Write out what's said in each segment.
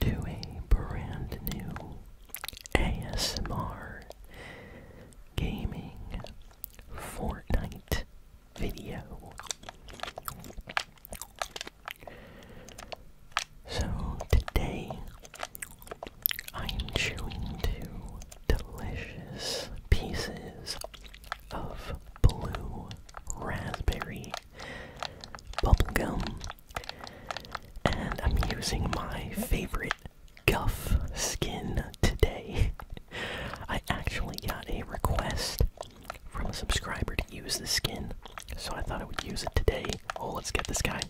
to a brand new ASMR gaming Fortnite video. So today I am chewing two delicious pieces of blue raspberry bubblegum and I'm using my favorite Guff skin today. I actually got a request from a subscriber to use the skin, so I thought I would use it today. Oh, let's get this guy.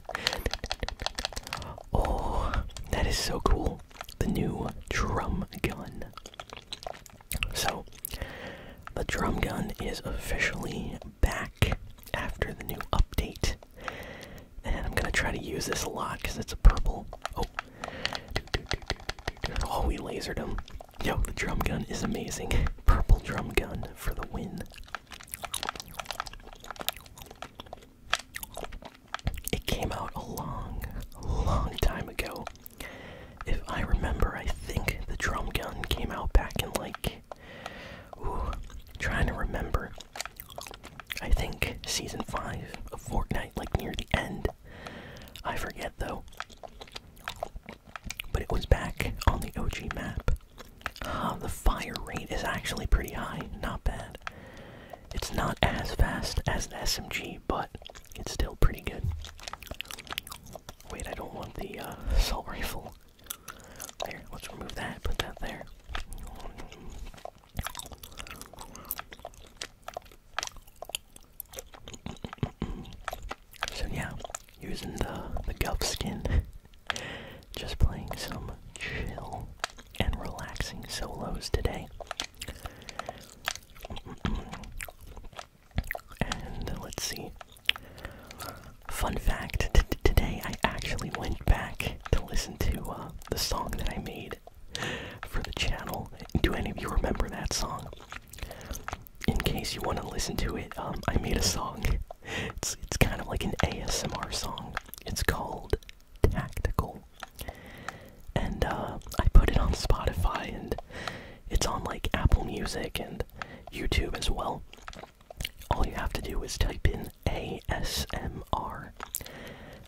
Oh, that is so cool. The new drum gun. So, the drum gun is officially back after the new update. And I'm gonna try to use this a lot because it's a purple. Oh, oh, we lasered him. Yo, the drum gun is amazing. Purple drum gun for the win. It came out a long, long time ago. If I remember, I think the drum gun came out back in like Ooh, trying to remember. I think season 5 of Fortnite, like near the end. I forget though. But it was back on the OG map. the fire rate is actually pretty high, not bad. It's not as fast as an SMG, but it's still pretty good. Wait, I don't want the uh, assault rifle. There, let's remove that, put that there. So yeah, using the the guff skin, just playing some chill and relaxing solos today. And let's see. Fun fact today I actually went back to listen to uh, the song that I made for the channel. Do any of you remember that song? In case you want to listen to it, um, I made a song. It's, it's kind of like an ASMR song. It's called Tactical. And uh, I put it on Spotify and it's on like Apple Music and YouTube as well all you have to do is type in ASMR.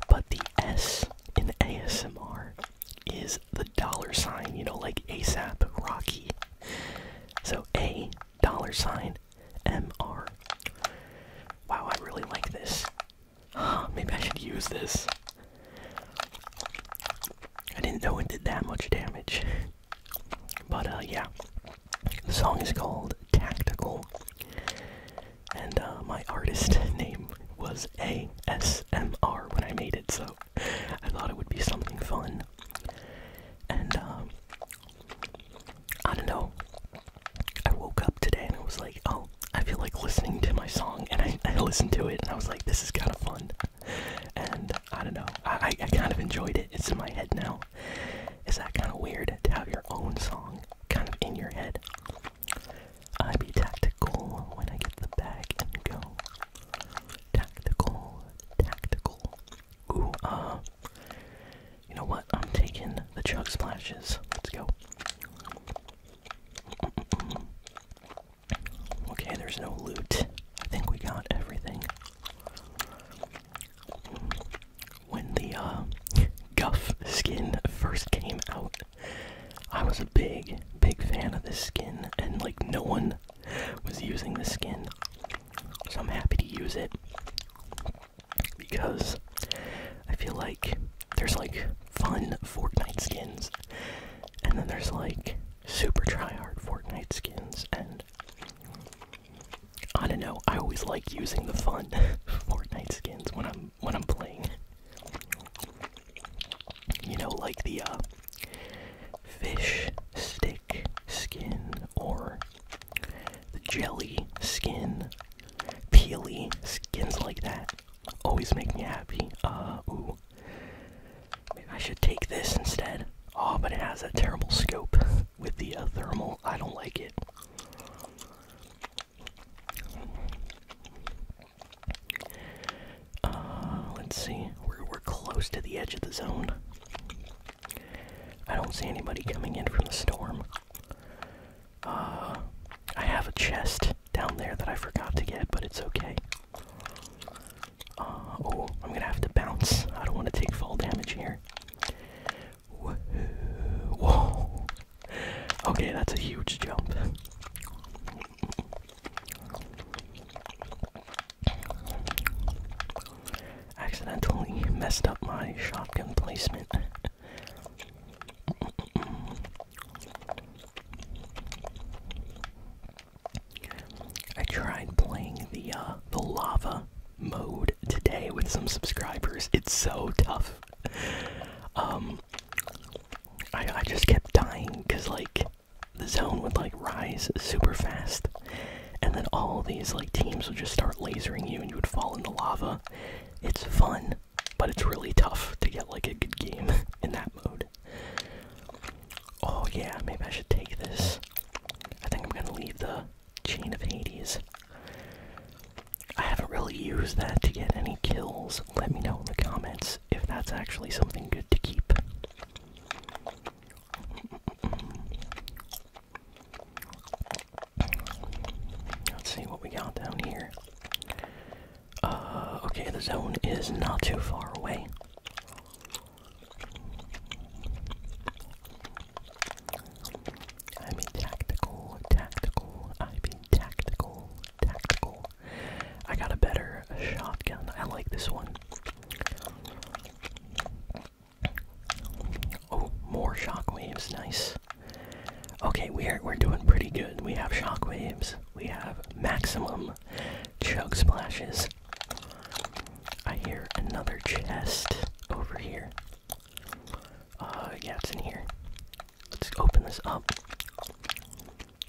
But the S in ASMR is the dollar sign, you know, like ASAP Rocky. So A dollar sign MR. Wow, I really like this. maybe I should use this. I didn't know it did that much damage. But uh, yeah, the song is called Tactical, and uh, my artist name was ASMR when I made it, so I thought it would be something fun. And um, I don't know, I woke up today and it was like, oh, I feel like listening to my song, and I listened to it and I was like, this is kind of fun. And I don't know. I, kind of enjoyed it. It's in my head now. Is that kind of weird to have your own song kind of in your head? I be tactical when I get the bag and go. Tactical, tactical. Ooh, uh. You know what? I'm taking the chug splashes. Let's go. Okay, there's no loot. I think we got everything when the uh, Guff skin first came out, I was a big, big fan of this skin, and like no one was using this skin. So I'm happy to use it because I feel like there's like fun Fortnite skins, and then there's like super tryhard Fortnite skins, and I don't know. I always like using the fun Fortnite skins when I'm when I'm playing. You know, like the uh, fish stick skin or the jelly skin, peely skins like that always make me happy. Uh, ooh, maybe I should take this instead. Oh, but it has a terrible scope with the uh, thermal. I don't like it. Uh, let's see. We're, we're close to the edge of the zone. I don't see anybody coming in from the storm. Uh, I have a chest down there that I forgot to get, but it's okay. Uh, oh, I'm gonna have to bounce. I don't want to take fall damage here. Whoa. Okay, that's a huge jump. Accidentally messed up my shotgun placement. I tried playing the uh, the lava mode today with some subscribers. It's so tough. Um, I I just kept dying because like the zone would like rise super fast, and then all these like teams would just start lasering you, and you would fall into lava. It's fun, but it's really tough to get like a good game in that mode. Oh yeah, maybe I should take this. I think I'm gonna leave the Chain of Hades. I haven't really used that to get any kills. Let me know in the comments if that's actually something good to keep. Let's see what we got down here. Uh, okay, the zone is not too far away. I'm tactical, tactical, I'm in tactical, tactical. I got a better shotgun. I like this one. Oh, more shockwaves, nice. Okay, we're we're doing pretty good. We have shockwaves. We have maximum chug splashes. I hear another chest over here. Uh, yeah, it's in here. Let's open this up.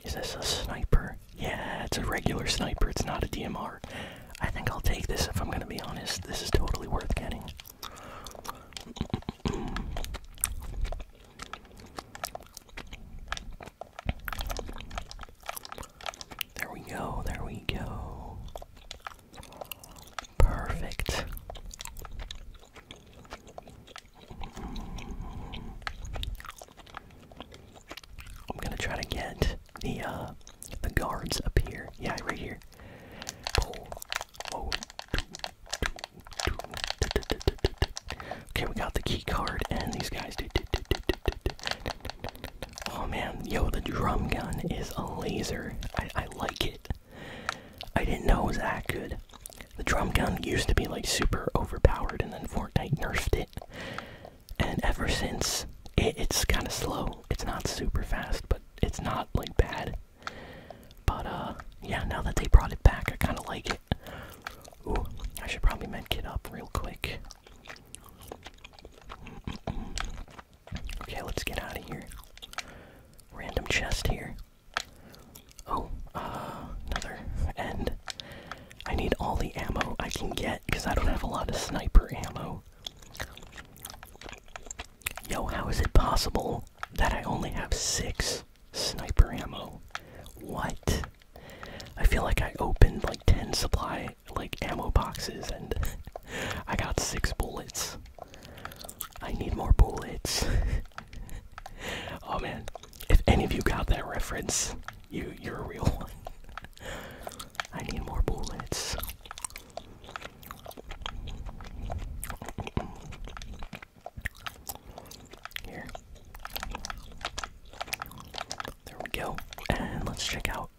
Is this a sniper? Yeah, it's a regular sniper. It's not a DMR. I think I'll take this if I'm gonna be honest. This is totally worth getting. There we go, there we go. Perfect. I'm gonna try to get the uh the guards up here. Yeah, right here. Pull. Oh. Okay, we got the key card and these guys. Oh man, yo, the drum gun is a laser. I, like it. I didn't know it was that good. The drum gun used to be like super overpowered, and then Fortnite nerfed it. And ever since, it's kind of slow. It's not super fast, but it's not like bad. But uh, yeah, now that they brought it back, I kind of like it. Ooh, I should probably medkit up real quick. Okay, let's get out of here. Random chest here. Oh, uh, another end. I need all the ammo I can get because I don't have a lot of sniper ammo. Yo, how is it possible that I only have six sniper ammo? What? I feel like I opened like 10 supply like ammo boxes and I got six bullets. I need more bullets. oh man, if any of you got that reference, you you're a real one. I need more bullets. Here. There we go. And let's check out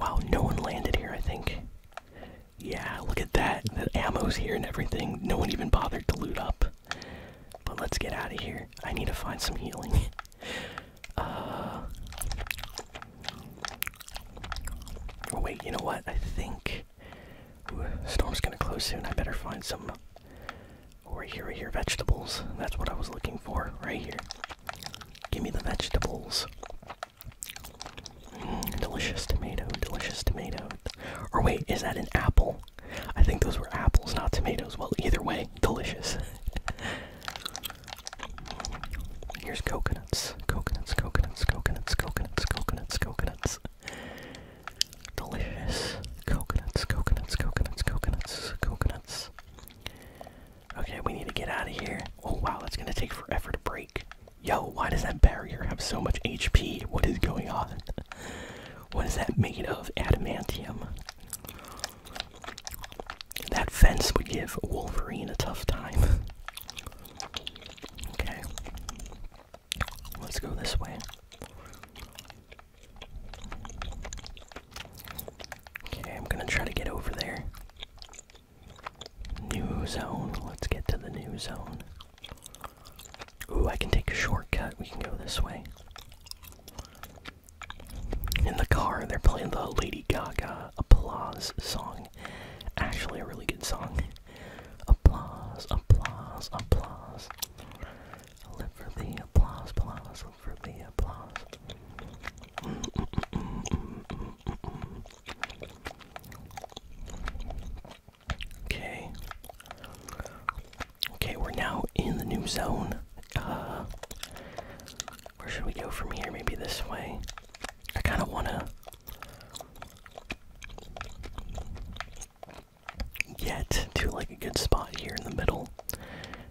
Wow, no one landed here, I think. Yeah, look at that. The ammo's here and everything. No one even bothered to loot up. But let's get out of here. I need to find some healing. Uh, oh, wait, you know what? I think. Ooh, storm's gonna close soon. I better find some. Or oh, here, here, vegetables. That's what I was looking for. Right here. Give me the vegetables. Mm, delicious tomato, delicious tomato. Or wait, is that an apple? I think those were apples, not tomatoes. Well, either way, delicious. Here's coconuts, coconuts, coconuts, coconuts, coconuts, coconuts, coconuts. Delicious coconuts, coconuts, coconuts, coconuts, coconuts. Okay, we need to get out of here. Oh wow, that's gonna take forever to break. Yo, why does that barrier have so much HP? What is going on? what is that made of? Adamantium. That fence would give Wolverine a tough time. okay. Let's go this way. Okay, I'm gonna try to get over there. New zone. Let's get to the new zone. Ooh, I can take a shortcut. We can go this way. In the car, they're playing the Lady Gaga applause song. Actually, a really good song. Applause, applause, applause. Live for the applause, applause for the applause. Okay. Okay, we're now in the new zone. Uh, where should we go from here? Maybe this way. I kind of want to get to like a good spot here in the middle,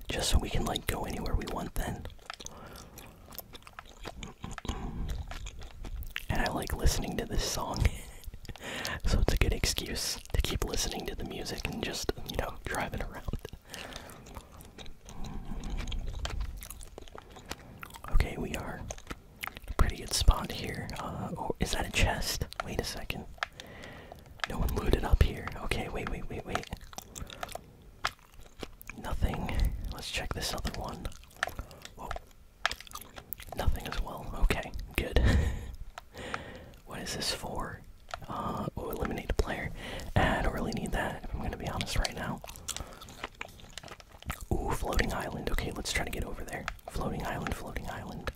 just so we can like go anywhere we want. Then and I like listening to this song. so it's a good excuse to keep listening to the music and just, you know, driving around. Okay, we are pretty good spot here. Uh, oh, is that a chest? Wait a second. No one looted up here. Okay, wait, wait, wait, wait. Nothing. Let's check this other one. Whoa. Nothing as well. Okay, good. what is this for? Uh, oh, eliminate a player. Ah, I don't really need that, if I'm gonna be honest right now. Ooh, floating island. Okay, let's try to get over there. Floating island, floating island.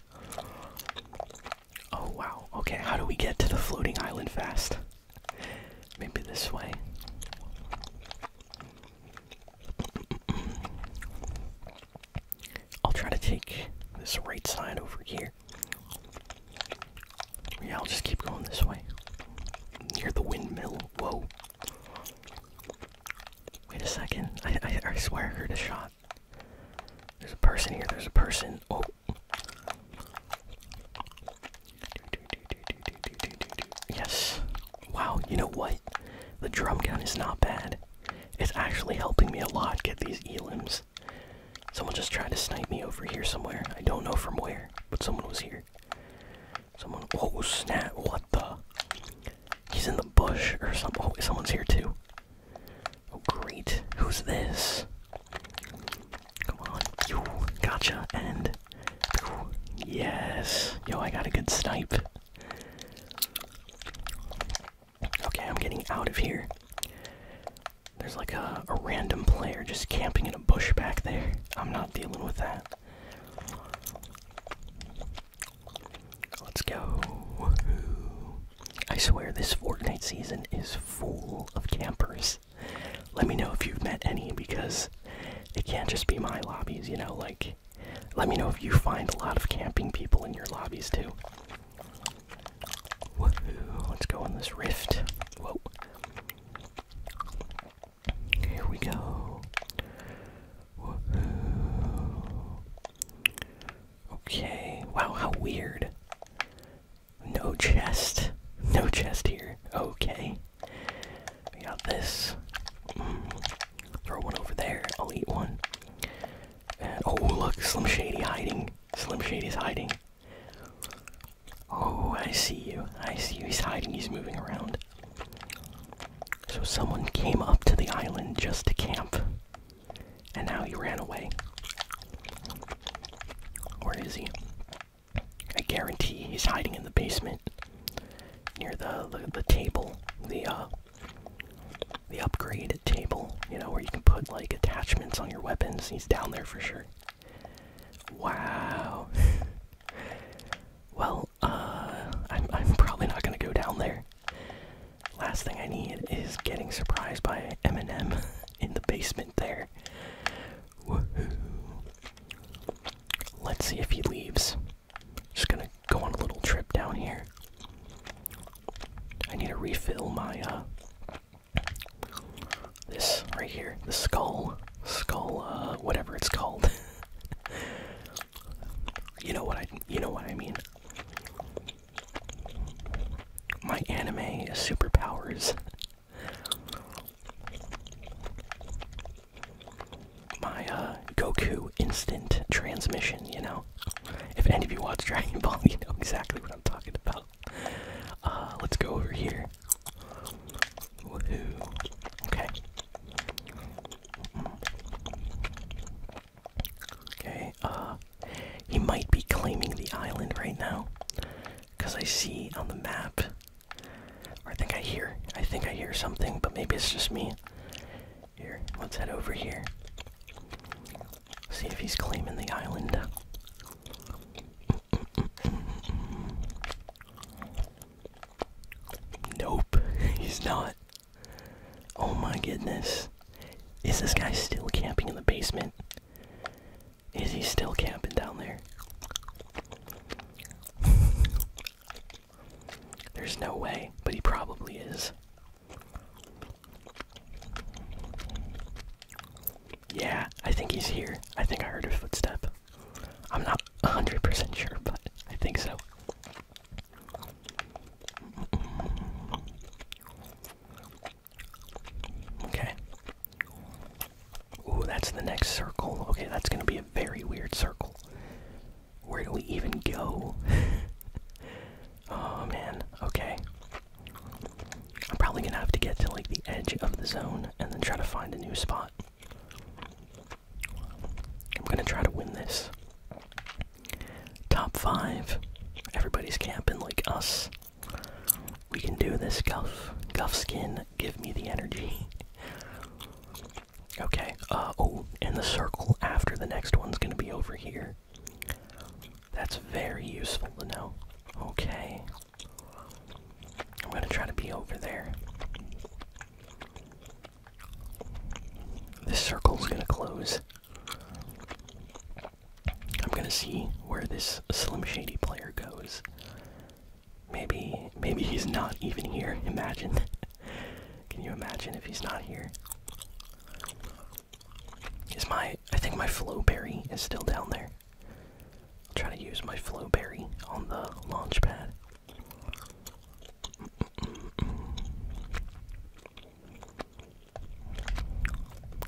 Oh, wow. Okay, how do we get to the floating island fast? Maybe this way. I'll try to take this right side over here. Yeah, I'll just keep going this way. Near the windmill. Whoa. Wait a second. I, I, I swear I heard a shot. There's a person here. There's a person. Oh, Yes. Wow, you know what? The drum gun is not bad. It's actually helping me a lot get these elims. Someone just tried to snipe me over here somewhere. I don't know from where, but someone was here. Someone. Oh, snap. What the? He's in the bush or something. Oh, someone's here too. Oh, great. Who's this? Come on. Yo, gotcha. And. Yes. Yo, I got a good snipe. Okay, I'm getting out of here. There's like a, a random player just camping in a bush back there. I'm not dealing with that. Let's go. I swear this Fortnite season is full of campers. Let me know if you've met any because it can't just be my lobbies, you know, like let me know if you find a lot of camping people in your lobbies too. let's go on this rift. Whoa. Here we go. Okay. Wow, how weird. No chest. No chest here. Okay. We got this. Mm. Throw one over there. I'll eat one. oh look, Slim Shady hiding. Slim Shady is hiding. Oh, I see you. I see you. He's hiding. He's moving around. So someone came up to the island just to camp. And now he ran away. Where is he? I guarantee he's hiding in the basement near the the, table, the uh, the upgrade table. You know where you can put like attachments on your weapons. He's down there for sure. Wow. well, uh, I'm I'm probably not gonna go down there. Last thing I need is getting surprised by Eminem in the basement there. Let's see if he leaves. Just gonna go on a little trip down here. I need to refill my, uh. This right here. The skull. Skull, uh, whatever it's called. you know what I. You know what I mean. My anime superpowers. My uh, Goku instant transmission, you know? If any of you watch Dragon Ball, you know exactly what I'm talking about. Uh, let's go over here. Okay. Okay, uh, he might be claiming the island right now. Because I see on the map, or I think I hear, I think I hear something, but maybe it's just me. Here, let's head over here. See if he's claiming the island. Nope, he's not. Oh my goodness. Is this guy still camping in the basement? Is he still camping down there? There's no way, but he probably is. Yeah, I think he's here. I think I heard a footstep. I'm not 100% sure, but I think so. Okay. Ooh, that's the next circle. Okay, that's gonna be a very weird circle. Where do we even go? oh man, okay. I'm probably gonna have to get to like the edge of the zone and then try to find a new spot. I'm gonna try to win this. Top five. Everybody's camping like us. We can do this, Guff. Guff skin, give me the energy. okay, uh, oh, and the circle after the next one's gonna be over here. That's very useful to know. Okay. I'm gonna try to be over there. This circle's gonna close. I'm gonna see where this Slim Shady player goes. Maybe, maybe he's not even here. Imagine. Can you imagine if he's not here? Is my, I think my flow berry is still down there. I'll try to use my flow berry on the launch pad.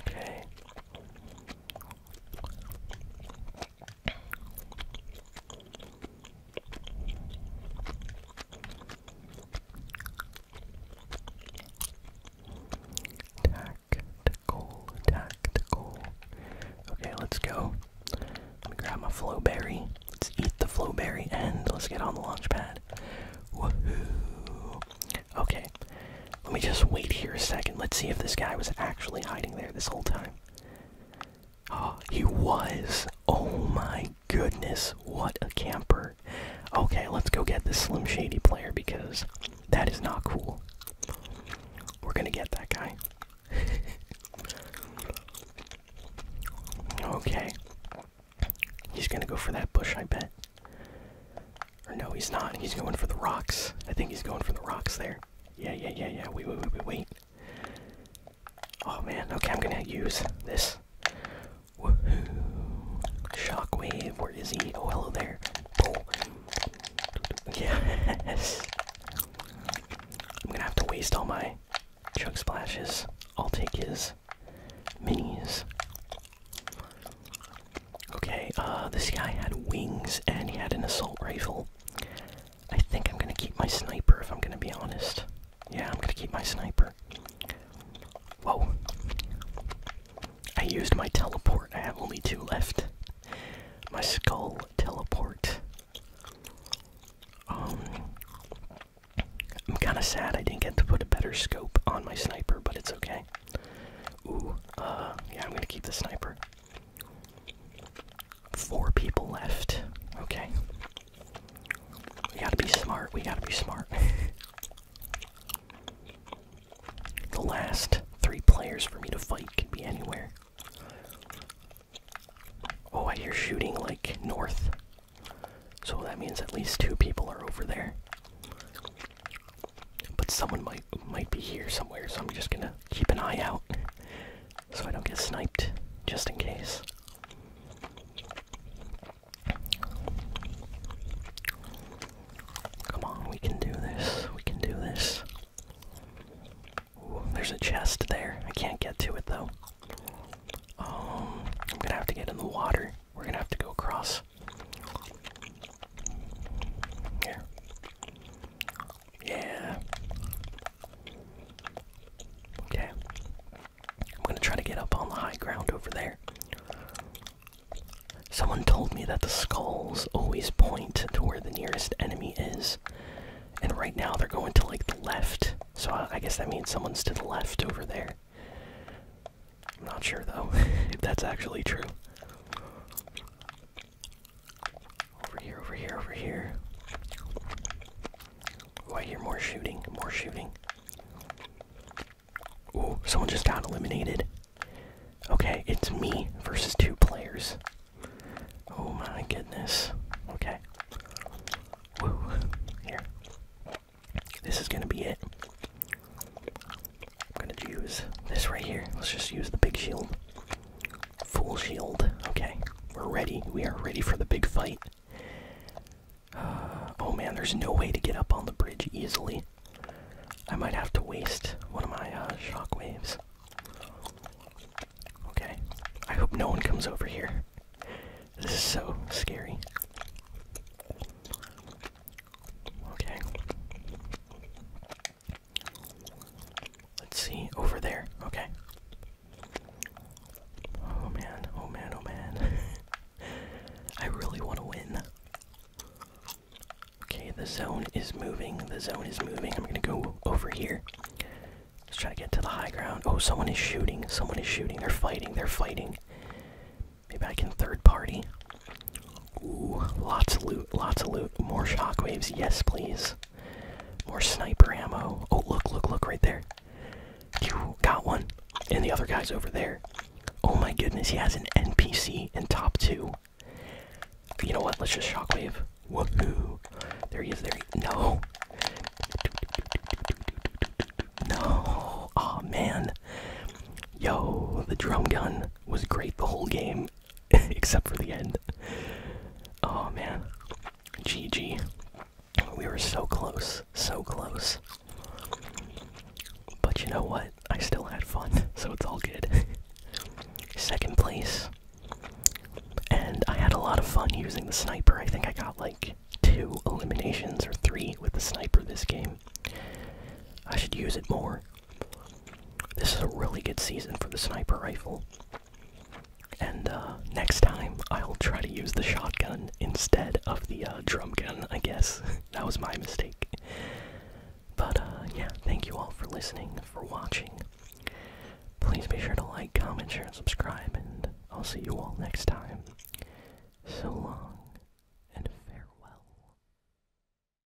Okay. Tactical, tactical. Okay, let's go. Let me grab my flow berry. Let's eat the flow berry and let's get on the launch pad. Woohoo! Okay, let me just wait here a second. Let's see if this guy was actually hiding there this whole time. Oh, he was. Oh my goodness. What a camper. Okay, let's go get this Slim Shady player because that is not cool. We're gonna get that guy. okay. He's gonna go for that bush, I bet no, he's not. He's going for the rocks. I think he's going for the rocks there. Yeah, yeah, yeah, yeah. Wait, wait, wait, wait, Oh man. Okay, I'm gonna use this. Woohoo! Shockwave. Where is he? Oh, hello there. Oh. Yes. I'm gonna have to waste all my chug splashes. I'll take his minis. Okay, uh, this guy had wings and he had an assault rifle. I think I'm gonna keep my sniper if I'm gonna be honest. Yeah, I'm gonna keep my sniper. Whoa. I used my teleport. I have only two left. My skull teleport. Um. I'm kinda sad I didn't get to put a better scope on my sniper, but it's okay. Ooh, uh, yeah, I'm gonna keep the sniper. Four people left. Okay. We gotta be smart. We gotta be smart. the last three players for me to fight can be anywhere. Oh, I hear shooting like north. So that means at least two people are over there. But someone might might be here somewhere, so I'm just gonna keep an eye out so I don't get sniped, just in case. Come on, we can do this. We can do this. there's a chest there. I can't get to it though. Um, I'm gonna have to get in the water. We're gonna have to go across. Here. Yeah. Okay. I'm gonna try to get up on the high ground over there. Someone told me that the skulls always point to where the nearest enemy is. And right now they're going to like the left. So I, I guess that means someone's to the left over there. I'm not sure though if that's actually true. Over here, over here, over here. Oh, I hear more shooting, more shooting. Oh, someone just got eliminated. Okay, it's me versus two players. Oh my goodness. Okay. Woo. Here. This is gonna be it. I'm gonna use this right here. Let's just use the big shield. Full shield. Okay. We're ready. We are ready for the big fight. Uh, oh man, there's no way to get up on the bridge easily. I might have to waste one of my uh, shockwaves. Okay. I hope no one comes over here. This is so scary. Okay. Let's see, over there. Okay. Oh man, oh man, oh man. I really want to win. Okay, the zone is moving. The zone is moving. I'm gonna go over here. Let's try to get to the high ground. Oh, someone is shooting. Someone is shooting. They're fighting. They're fighting. Maybe I can third party. Ooh, lots of loot, lots of loot. More shockwaves, yes please. More sniper ammo. Oh, look, look, look right there. You got one. And the other guy's over there. Oh my goodness, he has an NPC in top two. You know what? Let's just shockwave. Woohoo. There he is, there he No. No. oh, man. Yo, the drum gun was great the whole game. except for the end. Oh man. GG. We were so close, so close. But you know what? I still had fun, so it's all good. Second place. And I had a lot of fun using the sniper. I think I got like two eliminations or three with the sniper this game. I should use it more. This is a really good season for the sniper rifle. And uh, next time, I'll try to use the shotgun instead of the uh, drum gun, I guess. that was my mistake. But uh, yeah, thank you all for listening, for watching. Please be sure to like, comment, share, and subscribe, and I'll see you all next time. So long, and farewell.